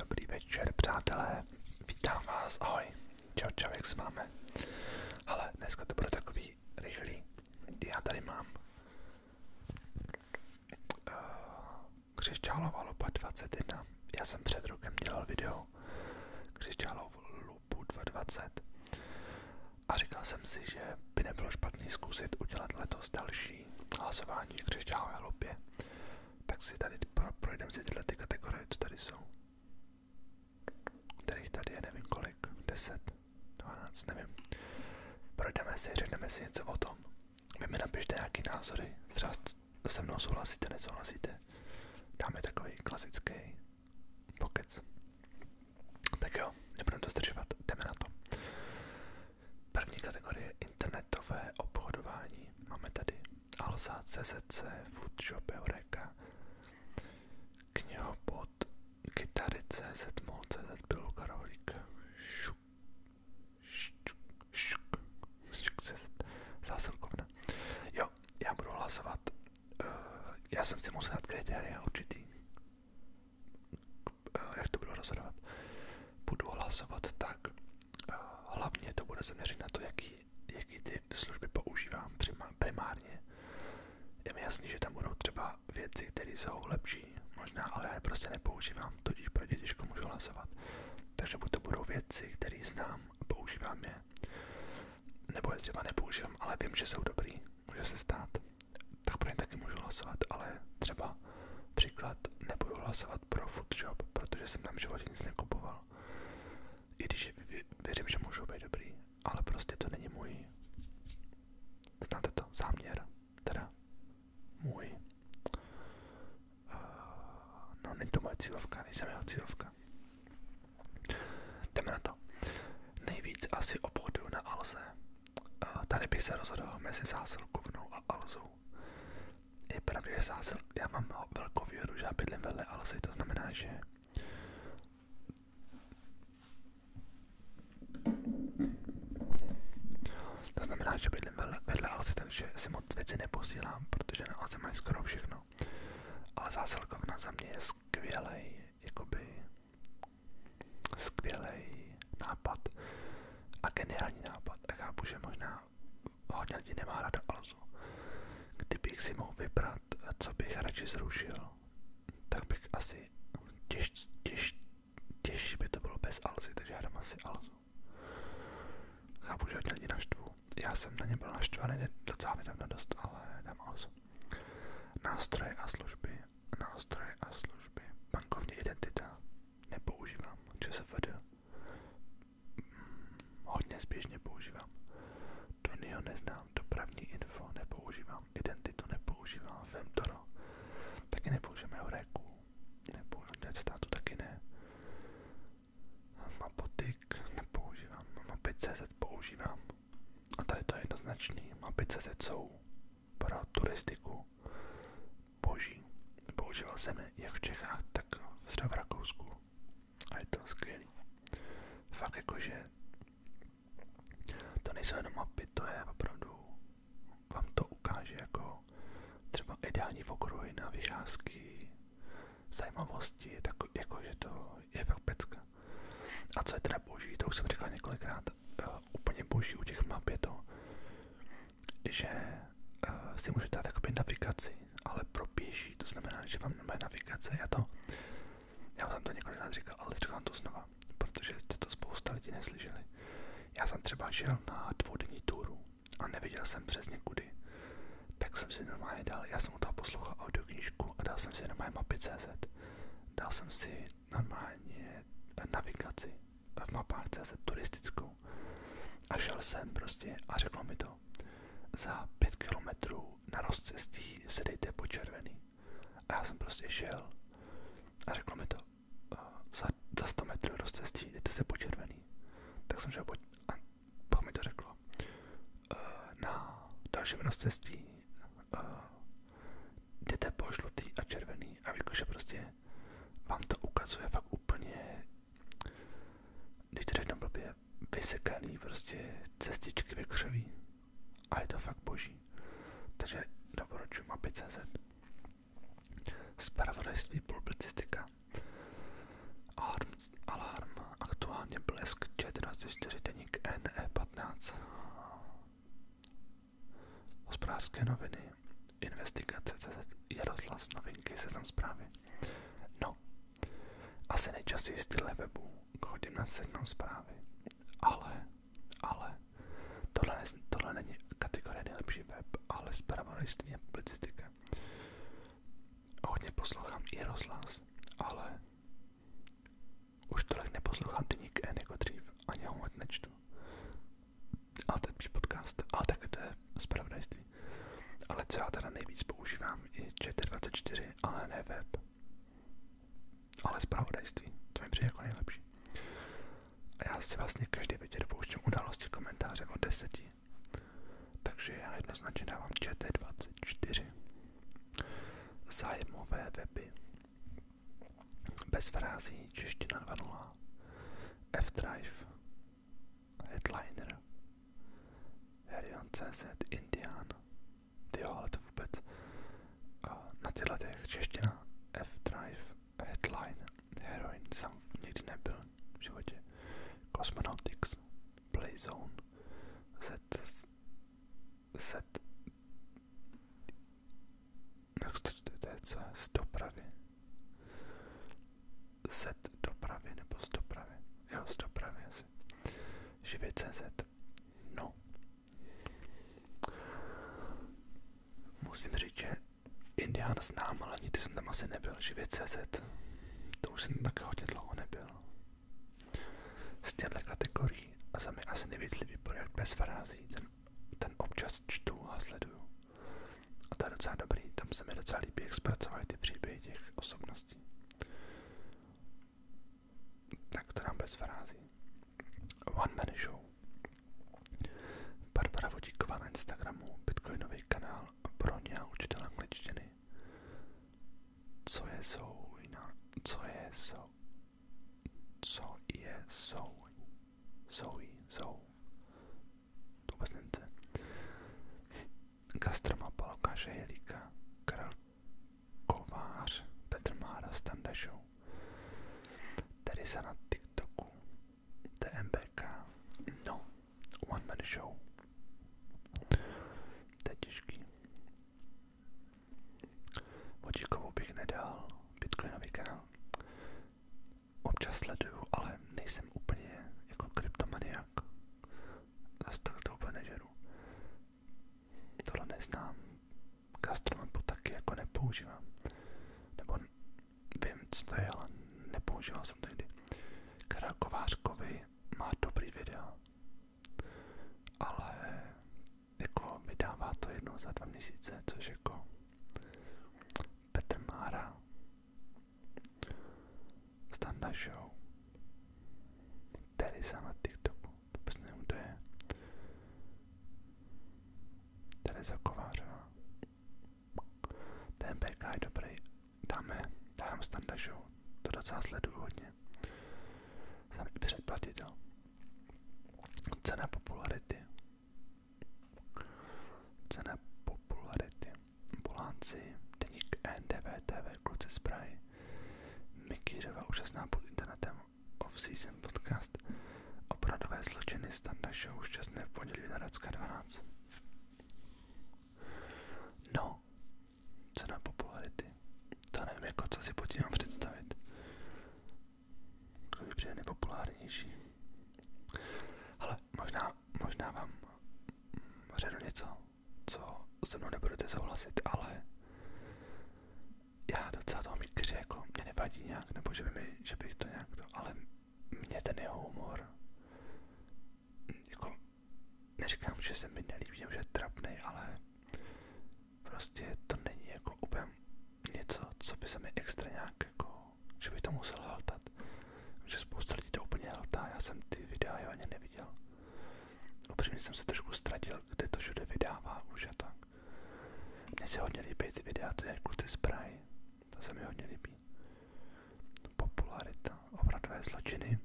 Dobrý večer, přátelé. Vítám vás, ahoj. Čau, čau, jak se máme? Ale dneska to bude takový rychlý. Já tady mám uh, eh, křišťálová lupa 21. Já jsem před rokem dělal video křišťálovou lupu 220 a říkal jsem si, že by nebylo špatný zkusit udělat letos další hlasování v křišťálové lupě tak si tady projdeme si tyhle ty kategorie, co tady jsou. Kterých tady je nevím kolik, 10, 12, nevím. Projdeme si, řekneme si něco o tom. Vy mi napište nějaké názory, třeba se mnou souhlasíte, nesouhlasíte. Dáme takový klasický pokec. Tak jo, nebudeme to zdržovat, jdeme na to. První kategorie internetové obchodování. Máme tady Alza, CZC, Foodshop, Eureka, knihobot, Kytary, CZ, Mol, CZ, Pilu, Karolík, šuk, šuk, šuk, šuk, CZ, eh, já jsem si musel dát kritéria určitý, eh, jak to budu rozhodovat. Budu hlasovat tak, hlavně to bude zaměřit na to, jaký, jaký ty služby používám primárně. Je mi jasný, že tam budou třeba věci, které jsou lepší, možná, ale já je prostě nepoužívám, tudíž pro ně těžko můžu hlasovat. Takže buď to budou věci, které znám a používám je, nebo je třeba nepoužívám, ale vím, že jsou dobrý, může se stát, tak pro ně taky můžu hlasovat, ale třeba Příklad, nebudu hlasovat pro Foodshop, protože jsem tam v životě nic nekupoval. I když věřím, že můžou být dobrý, ale prostě to není můj. Znáte to? Záměr. Teda můj. Eh, no, není to moje cílovka, nejsem jeho cílovka. Jdeme na to. Nejvíc asi obchodu na Alze. Eh, tady bych se rozhodoval mezi zásilkovnou a Alzou. Je pravda, že sázel, já mám velkou výhodu, že já bydlím vedle Alsy, to znamená, že to znamená, že bydlím vedle, vedle Alsy, takže si moc věci neposílám, protože na Alsy mají skoro všechno. Ale zásilkovna za mě je skvělej, jakoby skvělej nápad a geniální nápad. A chápu, že možná a hodně lidí nemá rada Alzu. Kdybych si mohl vybrat, co bych radši zrušil, tak bych asi těž, těž, těžší by to bylo bez Alzy, takže já dám asi Alzu. Chápu, že hodně lidí naštvu. Já jsem na ně byl naštvaný docela nedávno dost, ale dám Alzu. Nástroje a služby, nástroje a služby, bankovní identita, nepoužívám, ČSFD, hodně zběžně používám. Donio neznám, dopravní info nepoužívám, identitu nepoužívám, Femtoro taky nepoužijeme Eureku, nepoužijeme státu taky ne. Mapotik nepoužívám, Mapy.cz používám. A tady to je jednoznačný, Mapy.cz jsou pro turistiku, boží. Používal jsem je jak v Čechách, tak třeba v Rakousku. A je to skvělý. Fakt jakože to nejsou jenom mapy, to je opravdu, vám to ukáže jako třeba ideální okruhy na vycházky, zajímavosti, tak jako, že to je fakt pecka. A co je teda boží, to už jsem říkal několikrát, uh, úplně boží u těch map je to, že uh, si můžete dát jakoby navigaci, ale pro pěší, to znamená, že vám nemá navigace, já to, já jsem to nás říkal, ale říkám to znova, protože jste to spousta lidí neslyšeli. Já jsem třeba šel na dvoudenní túru a neviděl jsem přesně kudy, tak jsem si normálně dal, já jsem u toho poslouchal audioknížku a dal jsem si normálně mapy CZ, dal jsem si normálně eh, navigaci v mapách CZ turistickou a šel jsem prostě a řekl mi to. Za pět kilometrů na rozcestí se dejte po červený. A já jsem prostě šel a řekl mi to. Za, za 100 metrů rozcestí jdete se po červený. Tak jsem šel po, a pak mi to řeklo. Na dalším rozcestí jdete po žlutý a červený a jakože prostě vám to ukazuje fakt úplně když to řeknu blbě, vysekaný prostě cestičky ve křoví. A je to fakt boží. Takže doporučuji mapy.cz Spravodajství publicistika Alarm, alarm aktuálně blesk 14.4 deník NE15 Hospodářské noviny Investigace CZ Jaroslav novinky seznam zprávy No, asi nejčastěji styl webu chodím na sednou zprávy, ale, ale, tohle, ne, tohle není kategorie nejlepší web, ale je a publicistika. Hodně poslouchám i rozhlas, ale už tolik neposlouchám deník N jako dřív, ani ho moc nečtu. Ale to je podcast, ale taky to je zpravodajství. Ale co já teda nejvíc používám i ČT24, ale ne web. Ale zpravodajství, to mi přijde jako nejlepší. A já si vlastně každý večer pouštím události komentáře od deseti. Takže já jednoznačně dávám ČT24. Zájemové weby. Bez frází, čeština 2.0. F-Drive, headliner. Herion.cz Indian. Ty jo, ale to vůbec na těch letech čeština F-Drive Headline Heroin jsem nikdy nebyl v životě. Cosmonautics Playzone Z Z jak se to čte, to je co? Z dopravy z dopravy nebo z dopravy. Jo, z dopravy asi. Živě.cz No. Musím říct, že Indián znám, ale nikdy jsem tam asi nebyl. Živě.cz To už jsem tak hodně dlouho nebyl. Z těchto kategorií a za mě asi nejvíc líbí projekt bez farází. Ten, ten občas čtu a sleduju. A to je docela dobrý, tam se mi docela líbí, jak zpracovaly ty příběhy těch osobností. Tak to nám bez frází. One Man Show. Barbara Vodíková na Instagramu, bitcoinový kanál pro ně a učitel angličtiny. Co je jsou co je jsou, co je jsou, jsou, jsou, to vůbec Němce, Gastromapa Lukáše Jelíka, Karel Kovář, Petr Mára, Standa TikToku, TMBK, no, One Man Show. To je těžký. Vodíkovou bych nedal, kanál. Občas sleduju, ale nejsem úplně jako kryptomania nějak. Zase tak to úplně nežeru. Tohle neznám. Gastronomku taky jako nepoužívám. Nebo vím, co to je, ale nepoužíval jsem to nikdy. Karel Kovářkovi má dobrý videa, ale jako vydává to jednou za dva měsíce, což jako Petr Mára Standa Show. Teresa na TikToku, vůbec nevím, kdo je. Teresa Kovářová. Ten BK je dobrý. Dáme, dám Standa Show. To docela sleduju hodně. předplatitel. Cena popularity. Cena popularity. Polánci, deník NDVTV, kluci z Prahy, Mikýřeva úžasná pod internetem, off-season podcast, opravdové zločiny standa show, šťastné v pondělí Hradecká 12. No, cena popularity. To nevím, jako co si pod tím mám představit. Kdo je přijde nejpopulárnější. Ale možná možná, vám řeknu něco, co se mnou nebudete souhlasit, ale já docela toho mít kři, jako mě nevadí nějak, nebo že, by mi, že bych to nějak to, ale mě ten jeho humor, jako neříkám, že se mi nelíbí, že je trapnej, ale prostě to není jako úplně něco, co by se mi extra nějak jako, že bych to musel haltat že spousta lidí to úplně hltá, já jsem ty videa jo, ani neviděl. Upřímně jsem se trošku ztratil, kde to všude vydává už a tak. Mně se hodně líbí ty videa, ty kluci z Prahy, to se mi hodně líbí. Popularita, obradové zločiny,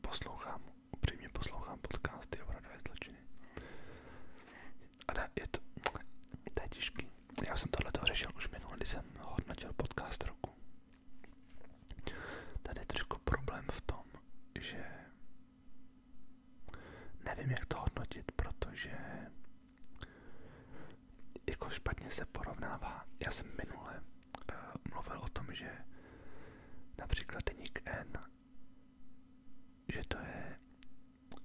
poslouchám, upřímně poslouchám podcasty obradové zločiny. Ale je to, to je těžký. Já jsem tohle řešil už minule, když jsem hodnotil podcast roku. Tady je problém v tom, že nevím, jak to hodnotit, protože jako špatně se porovnává. Já jsem minule eh, mluvil o tom, že například deník N, že to je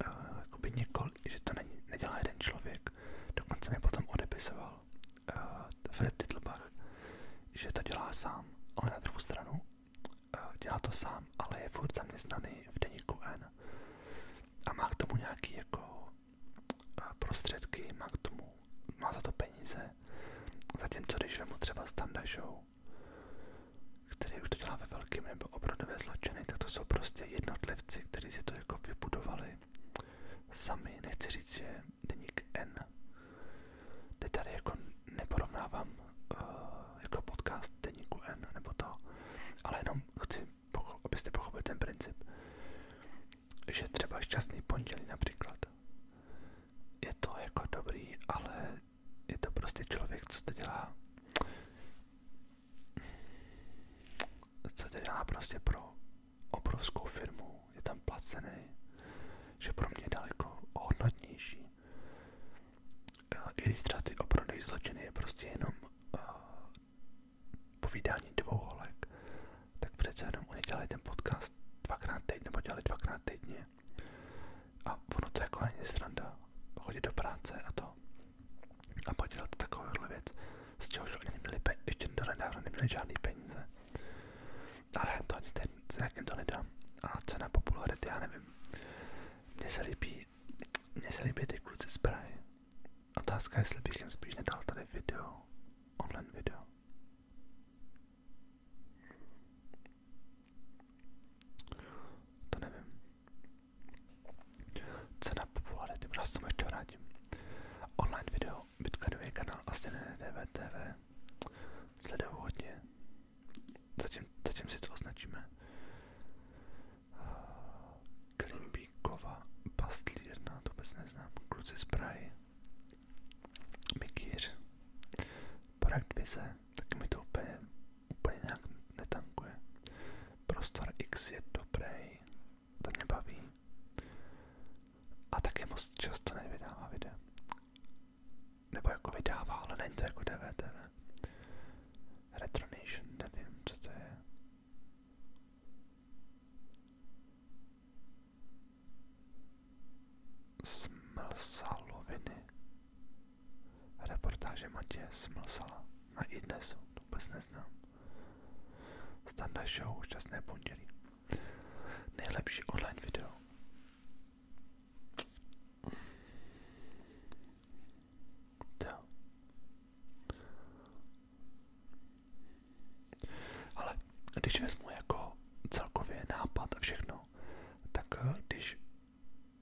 uh, jakoby několik, že to není, nedělá jeden člověk. Dokonce mi potom odepisoval, Eh, Filip Titlbach, že to dělá sám, ale na druhou stranu eh, dělá to sám, ale je furt zaměstnaný v deníku N a má k tomu nějaký jako eh, prostředky, má k tomu, má za to peníze, zatímco když mu třeba Standa Show, který už to dělá ve velkým nebo obrodové zločiny, tak to jsou prostě jednotlivci, kteří si to jako vybudovali sami, nechci říct, že deník N. Teď tady jako neporovnávám uh, jako podcast deníku N nebo to, ale jenom chci, pocho- abyste pochopili ten princip, že třeba šťastný pondělí například je to jako dobrý, ale je to prostě člověk, co to dělá co to dělá prostě pro obrovskou firmu, je tam placený, že pro mě je daleko hodnotnější. Eh, I když třeba ty oprodej zločiny je prostě jenom uh, povídání dvou holek, tak přece jenom oni dělají ten podcast dvakrát týdně, nebo dělali dvakrát týdně. A ono to jako není sranda chodit do práce a to a podělat takovouhle věc, z čehož oni neměli, pe- ještě do nedávna neměli žádný peníze. Ale to ani ten to nedám. A cena popularity, já nevím. Mně se líbí, mně se líbí ty kluci z Prahy. Otázka je, jestli bych jim spíš nedal tady video, online video. To nevím. Cena popularity, já se tomu ještě vrátím. Online video Bitcoinový kanál asi ne, DVTV. Sleduju hodně. Zatím, zatím si to označíme. Eh, Klimbíkova pastlírna, to vůbec neznám. Kluci z Prahy. Mikýř. Projekt Vize, taky mi to úplně, úplně nějak netankuje. Prostor X je dobrý to mě A taky moc často nevydává videa. Nebo jako vydává, ale není to jako Retronation, nevím, co to je. Smlsaloviny. Reportáže Matěje Smlsala na iDnesu, to vůbec neznám. Standa show, šťastné pondělí. Nejlepší online video. Jo. Ale když vezmu jako celkově nápad a všechno, tak eh, když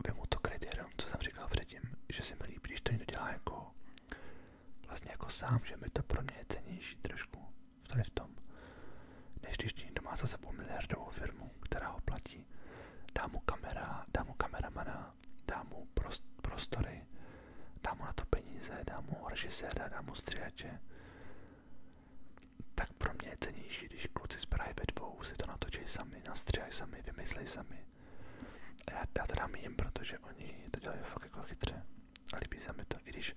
vemu to kritérium, co jsem říkal předtím, že se mi líbí, to někdo dělá jako vlastně jako sám, že mi to pro mě je cenější trošku tady v tom, než když někdo má za sebou miliardovou firmu, která ho platí, dá mu kamera, dá mu kameramana, dá mu prostory, dá mu na to peníze, dá mu režiséra, dá mu stříhače, tak pro mě je cenější, když kluci z Prahy ve dvou si to natočí sami, nastříhají sami, vymyslej sami. já, já to dám jim, protože oni to dělají fakt jako chytře a líbí se mi to, i když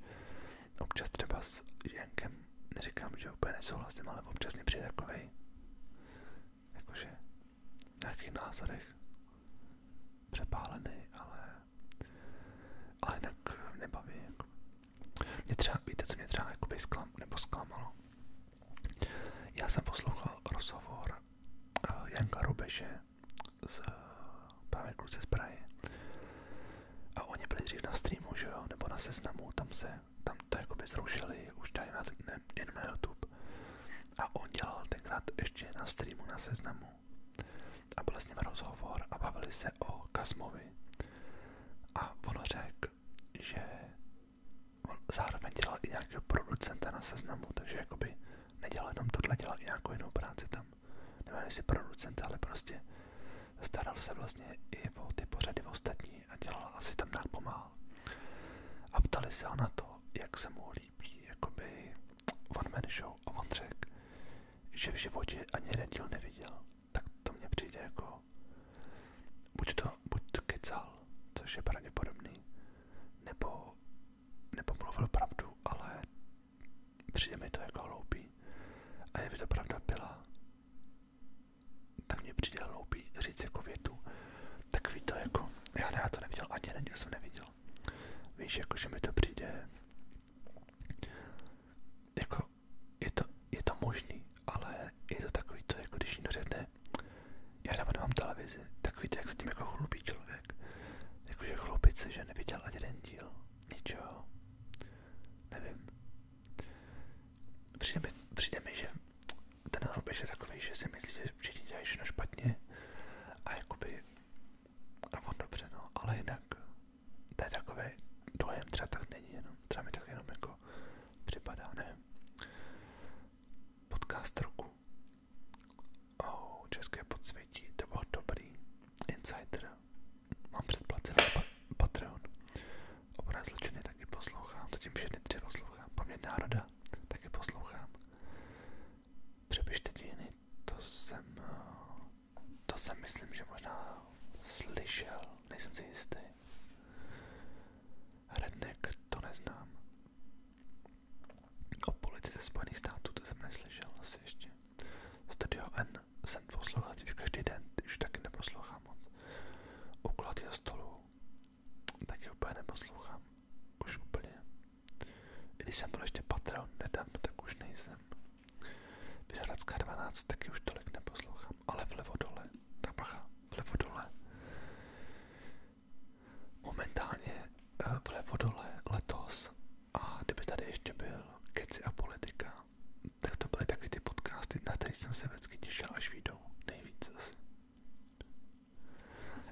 občas třeba s Jenkem, neříkám, že úplně nesouhlasím, ale občas mě přijde takovej, jakože v nějakých názorech přepálený, ale, ale jinak nebaví. Jako. Mě třeba, víte, co mě třeba jakoby sklam, nebo sklamalo. Já jsem poslouchal rozhovor uh, Janka Rubeše z právě kluce z Prahy. A oni byli dřív na streamu, že jo, nebo na seznamu, tam se, tam to jako by zrušili, už tady na, ne, jen na YouTube. A on dělal tenkrát ještě na streamu na seznamu. A byl s ním rozhovor a bavili se o Kasmovi. A on řekl, že zároveň dělal i nějakého producenta na seznamu, takže jakoby nedělal jenom tohle, dělal i nějakou jinou práci tam nevím jestli producent, ale prostě staral se vlastně i o ty pořady ostatní a dělal asi tam nějak pomáhal. A ptali se ho na to, jak se mu líbí jakoby one man show a on řekl, že v životě ani jeden díl neviděl. Tak to mně přijde jako buď to, buď to kecal, což je pravděpodobný, nebo, nebo mluvil pravdu, ale Přijde mi to jako hloupý. A je by to pravda byla, tak mě přijde hloupý říct jako větu. Takový to jako, já, ne, já to neviděl, ani neděl jsem neviděl. Víš, jako že mi to přijde, jako je to, je to možný, ale je to takový to, jako když někdo řekne, já dávno mám televizi, takový to, jak se tím jako chlubí člověk. Jakože chlubit se, že neviděl ani jeden díl něčeho, nevím. Přijde mi, že ten hloubež je takový, že si myslí, že všichni dělají všechno špatně a jakoby a on no. ale jinak to takový dojem, třeba tak není jenom, třeba mi tak jenom jako Podcast roku. Oh, české podsvětí, to Insider, Mám předplacený pa- Patreon. Obrázek zločiny taky poslouchám, zatím všechny tři poslouchám. Paměť národa taky poslouchám. Přepište dějiny, to jsem, eh, to jsem myslím, že možná slyšel, nejsem si jistý. Redneck, to neznám. O politice Spojených států to jsem neslyšel asi ještě. Studio N, jsem poslouchat, dřív každý den, ty už taky neposlouchám moc. U kulatého stolu taky úplně neposlouchám. Už úplně. I když jsem byl ještě Patreon nedávno, tak už nejsem. Vyžadatska 12 taky už tolik neposlouchám, ale vlevo dole, tak bacha, vlevo dole. Momentálně eh, vlevo dole letos a kdyby tady ještě byl keci a politika, tak to byly taky ty podcasty, na které jsem se vždycky těšil, až výjdou nejvíc asi.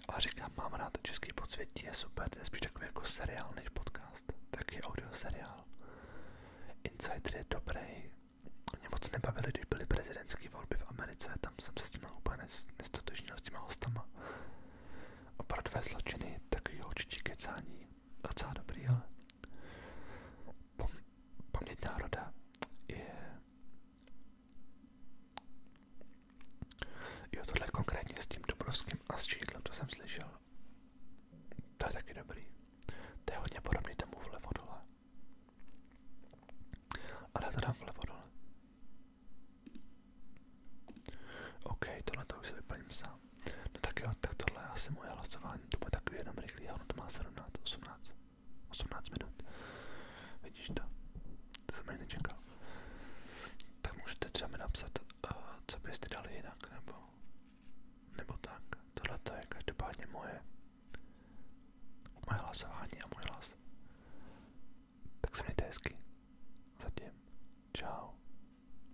Ale říkám, mám rád, český podsvětí je super, je spíš takový jako seriál než podcast, taky audio seriál. Insider je dobrý, mě moc nebavili, když byly prezidentské volby v Americe, tam jsem se s tím úplně nestotožnil s těma hostama. Opravdové zločiny, takový určitě kecání, docela dobrý, ale Pom paměť národa je... Jo, tohle konkrétně s tím Dobrovským a s Čídlem, to jsem slyšel. To je taky dobrý. To je hodně podobný tomu vlevo dole. Ale já to dám vlevo dole. OK, tohle to už se vyplním sám. No tak jo, tak tohle je asi moje hlasování, to bude takový jenom rychlý, ono to má 17, 18, 18 minut. Vidíš to? To jsem ani nečekal. Tak můžete třeba mi napsat, uh, co byste dali jinak, nebo, nebo tak. Tohle to je každopádně moje, moje hlasování a můj hlas. Tak se mějte hezky. Zatím. Čau.